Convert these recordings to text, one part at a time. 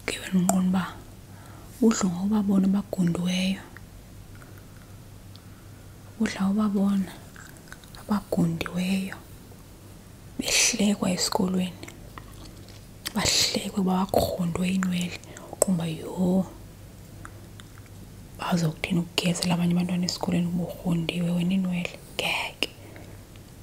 ugibela umnqondo uba udla ngobabona abagundiweyo udla ngobabona abagundiweyo behlekwa esikolweni bahlekwe bawakhondwe inwele uqumba yho bazokuthini ukugezela abanye abantwana esikolweni uburhondiwe wena iinwele ngeke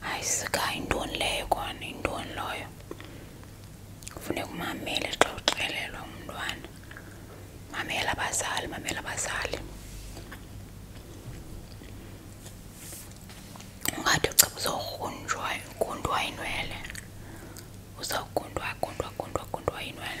hayi sikhaya yintoni leyo kona yintoni loyo kufuneka umamele xa uxelelwa umntwana mamela abazali mamela abazali ungathi ucaba uzawugrunjwa gundwa inwele uzawugundwa gundwa gundwa gundwa inwele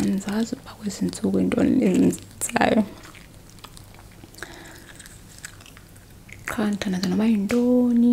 angizazi uba kwezinsuku intoni lezinzayo qha ndithandaza noba yintoni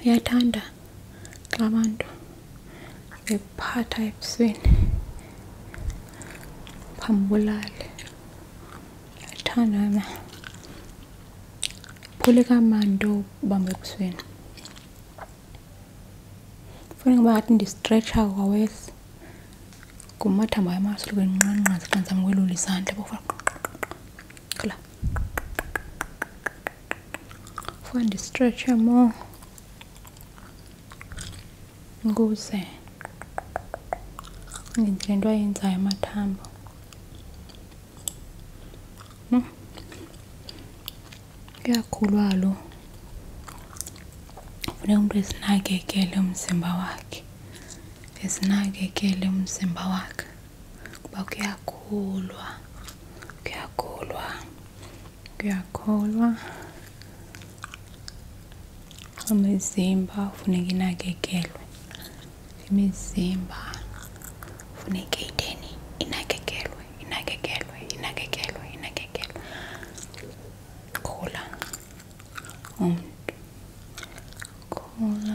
uyathanda xa abantu bephatha ebusweni phambulale uyathanda na phule kamandi ubamba ebusweni funeka uba ngathi ndistretshha kwawesi ngumathambo amasulukeni nqanqazi xa ndizama ukwelula izandla bofa Kula. Find stretcher more. Nguze. Ngindile into ayenzayo amathambo. Kuyakhulwa lo. Funeka umntu ezinakekele umzimba wakhe. Ezinakekele umzimba wakhe kuba kuyakholwa kuyakholwa kuyakholwa imizimba funeka inakekelwe imizimba funeka iteni inakekelwe inakekelwe inakekelwe inakekelwe khula umntu khula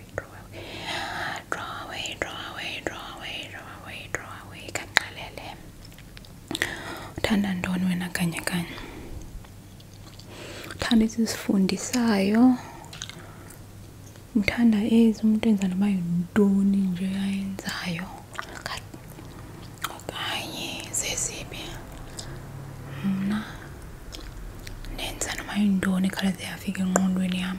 away, draw away, draw away, draw away, draw away, draw away, draw away, kankalele uthanda ntoni wena kanye kanye uthanda ezizifundisayo uthanda ezi umntu enza noba yintoni nje ayenzayo okanye zezibi mna ndenza noba yintoni khalaze yafika engqondweni yam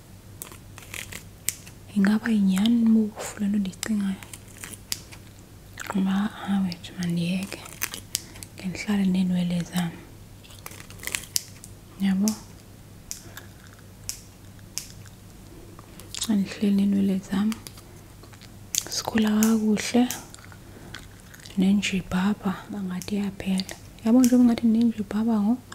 ingaba yinyani bofu le nto ndiyicingayo ngoba awethu mandiyeke ke ndihlale neenwele zam yabo xa ndihleli neenwele zam sikhula kakuhle nenjibhabha angathi iyaphela yabo njengoba ngathi nenjibhabha ngoku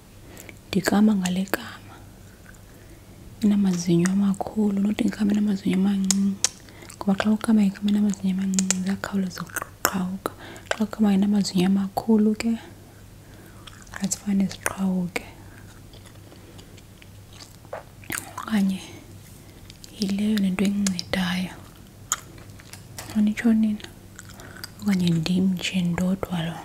ndikama ngale kama inamazinyo amakhulu nothi ndikama inamazinyo amancinci ngoba xa ukama ikama inamazinyo amancinci ziyakhawuleza ukuqhawuka xa ukama inamazinyo amakhulu ke azifane ziqhawuke okanye yileyo le nto incincedayo anitshonina okanye ndim nje ndodwa loo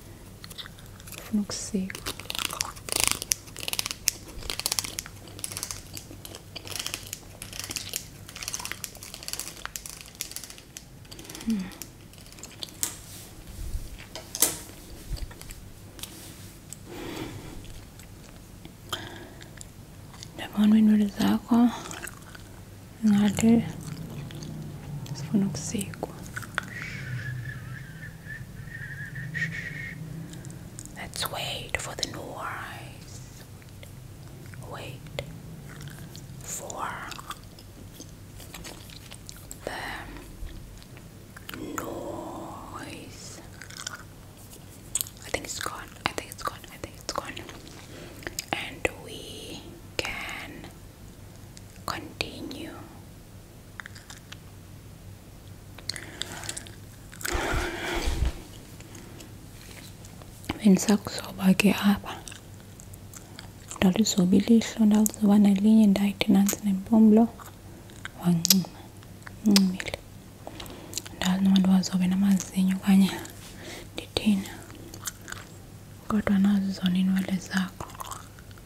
Funuk seco. zako ng'ate, sifunuk seco. Let's wait for the new eyes. Wait for the noise. I think it's gone. I think it's gone. I think it's gone. And we can continue bendisakuzoba ke apha ndalizoba ilihlo ndalizoba nelinye ndayithi nantsi nempumlo wancima uncimile ndazi noma ndiwazobe namazinyo okanye ndithina kodwa nazo zona iinwele zakho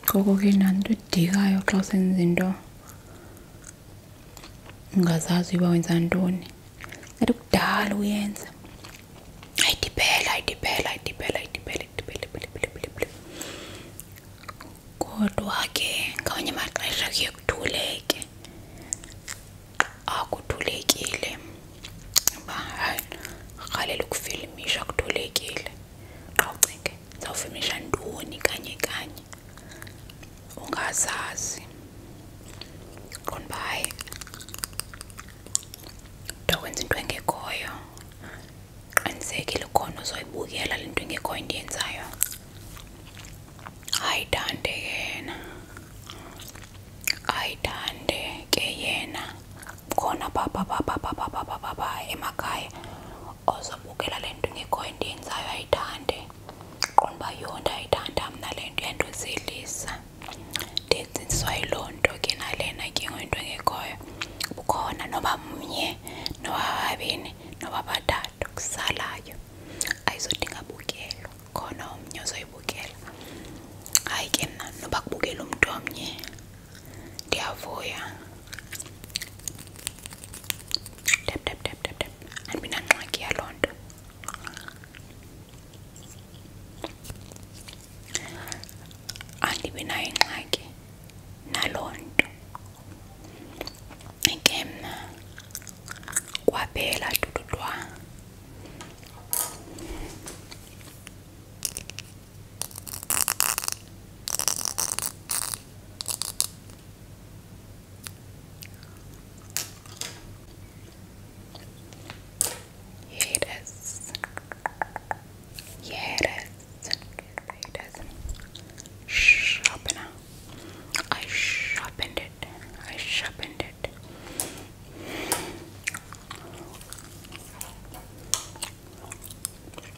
ke kokokin anto idikayo xa usenza into ungazazi uba wenza ntoni kanti kudala uyenza ayidibhele ayidibhele ayidibhele ayidibhele idibhele kodwa ke ngamanye amaxesha kuye kuthuleke akuthulekile uba hayi rhalela ukufilimisha kuthulekile awucinge zawufimisha ntoni kanye kanye ungazazi qonda uba hayi ndokwenza into engekhoyo qinisekile khona uzoyibukela le nto engekhoyo endiyenzayo hayi dande yena hayi dande ke yena khona papa papa papa papa papa emakhaya ozobukela le nto ingekhoyo ndiyenzayo ayithande qonda uba yho ndiyayithanda mna le nto iyandizelisa ndizinziswa yiloo nto ke nalena ke ngoyinto engekhoyo kukhona noba mnye noba babini noba bathathu kusalayo ayizodinga bukelo khona omnye uzoyibukela hayi ke mna noba kubukela umntu omnye ndiyavuya tap tap tap tap tap andibinangxaki yaloo nto andibinayo ingxaki naloo nto ke mna kwaphela dududwa Here it is. Yeah, it is. It is. Sharpener. I sharpened it. I sharpened it.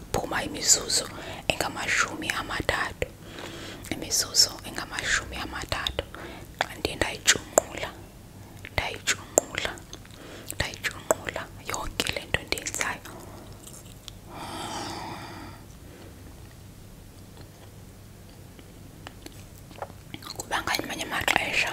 kuphuma imizuzu engamashumi amathathu imizuzu engamashumi amathathu xa ndiye ndayitshunqula ndayitshunqula ndayitshunqula yonke le nto ndiyenzayo kuba ngamanye amaxesha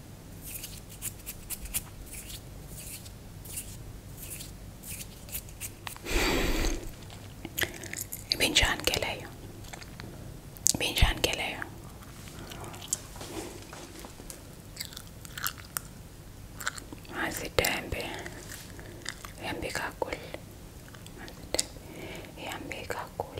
Binjan geleyo. Binjan geleyo. Mazitembe. Yambi kakul. Mazitembe. Yambi kakul.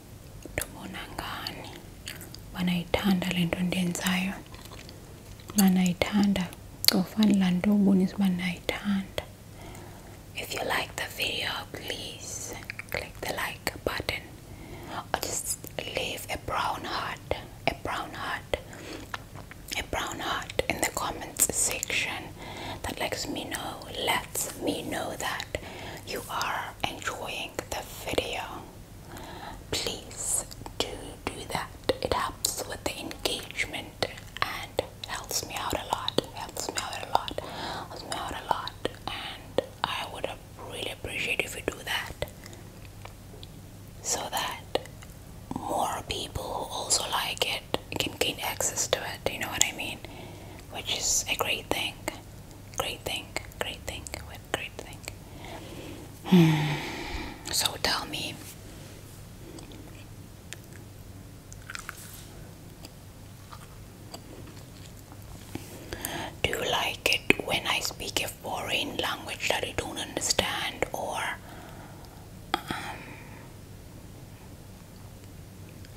tubona ngani banayithanda le nto ndiyenzayo banayithanda cofani laa nto ubonisa uba ndinayithanda if you like the video please click the like button or just leave a brown heart a brown heart a brown heart in the comments section that lets me know lets me know that you are enjoying the video please do do that it helps with the engagement and helps me out a lot helps me out a lot helps me out a lot and I would really appreciate if you do that so that more people who also like it can gain access to it you know what I mean which is a great thing Great thing, great thing, great thing. Hmm. So tell me. Do you like it when I speak a foreign language that I don't understand, or um,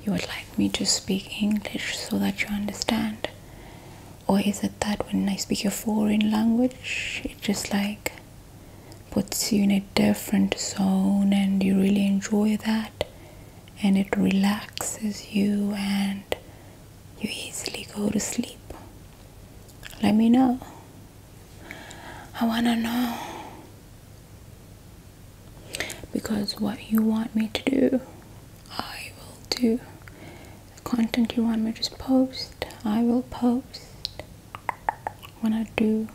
you would like me to speak English so that you understand? Or is it that when I speak a foreign language, it just like puts you in a different zone and you really enjoy that and it relaxes you and you easily go to sleep? Let me know. I wanna know because what you want me to do, I will do. The content you want me to post, I will post. When I do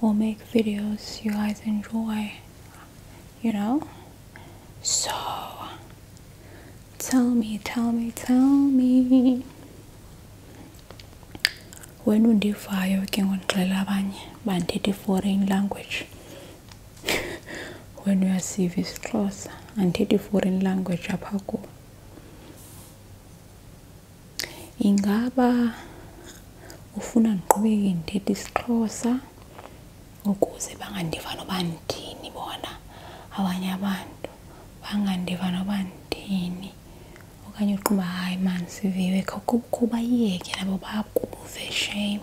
or make videos you guys enjoy, you know? So, tell me, tell me, tell me. When would you fire working on Trelabany, Banditi foreign language? wenu uyasiva isixhosa andithethi i-foreign language apha kuwo ingaba ufuna ndiqhubeke ndithetha sixhosa ukuze bangandiva noba ndini bona abanye abantu bangandiva noba ndini okanye uqumba hayi mani siviwe kho kubayeke nabo bakuve shame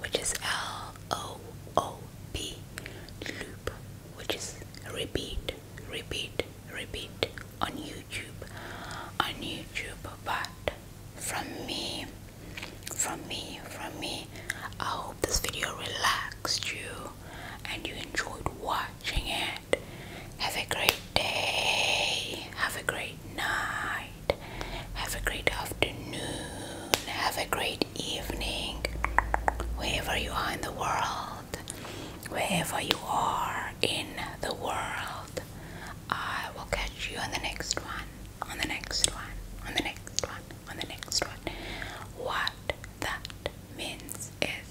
which is L O O P, loop, which is repeat, repeat, repeat on YouTube, on YouTube. But from me, from me, from me, I hope this video relaxed you and you enjoyed watching it. Have a great day, have a great night. Have a great afternoon. Have a great evening. Wherever you are in the world, wherever you are in the world, I will catch you on the next one. On the next one. On the next one. On the next one. What that means is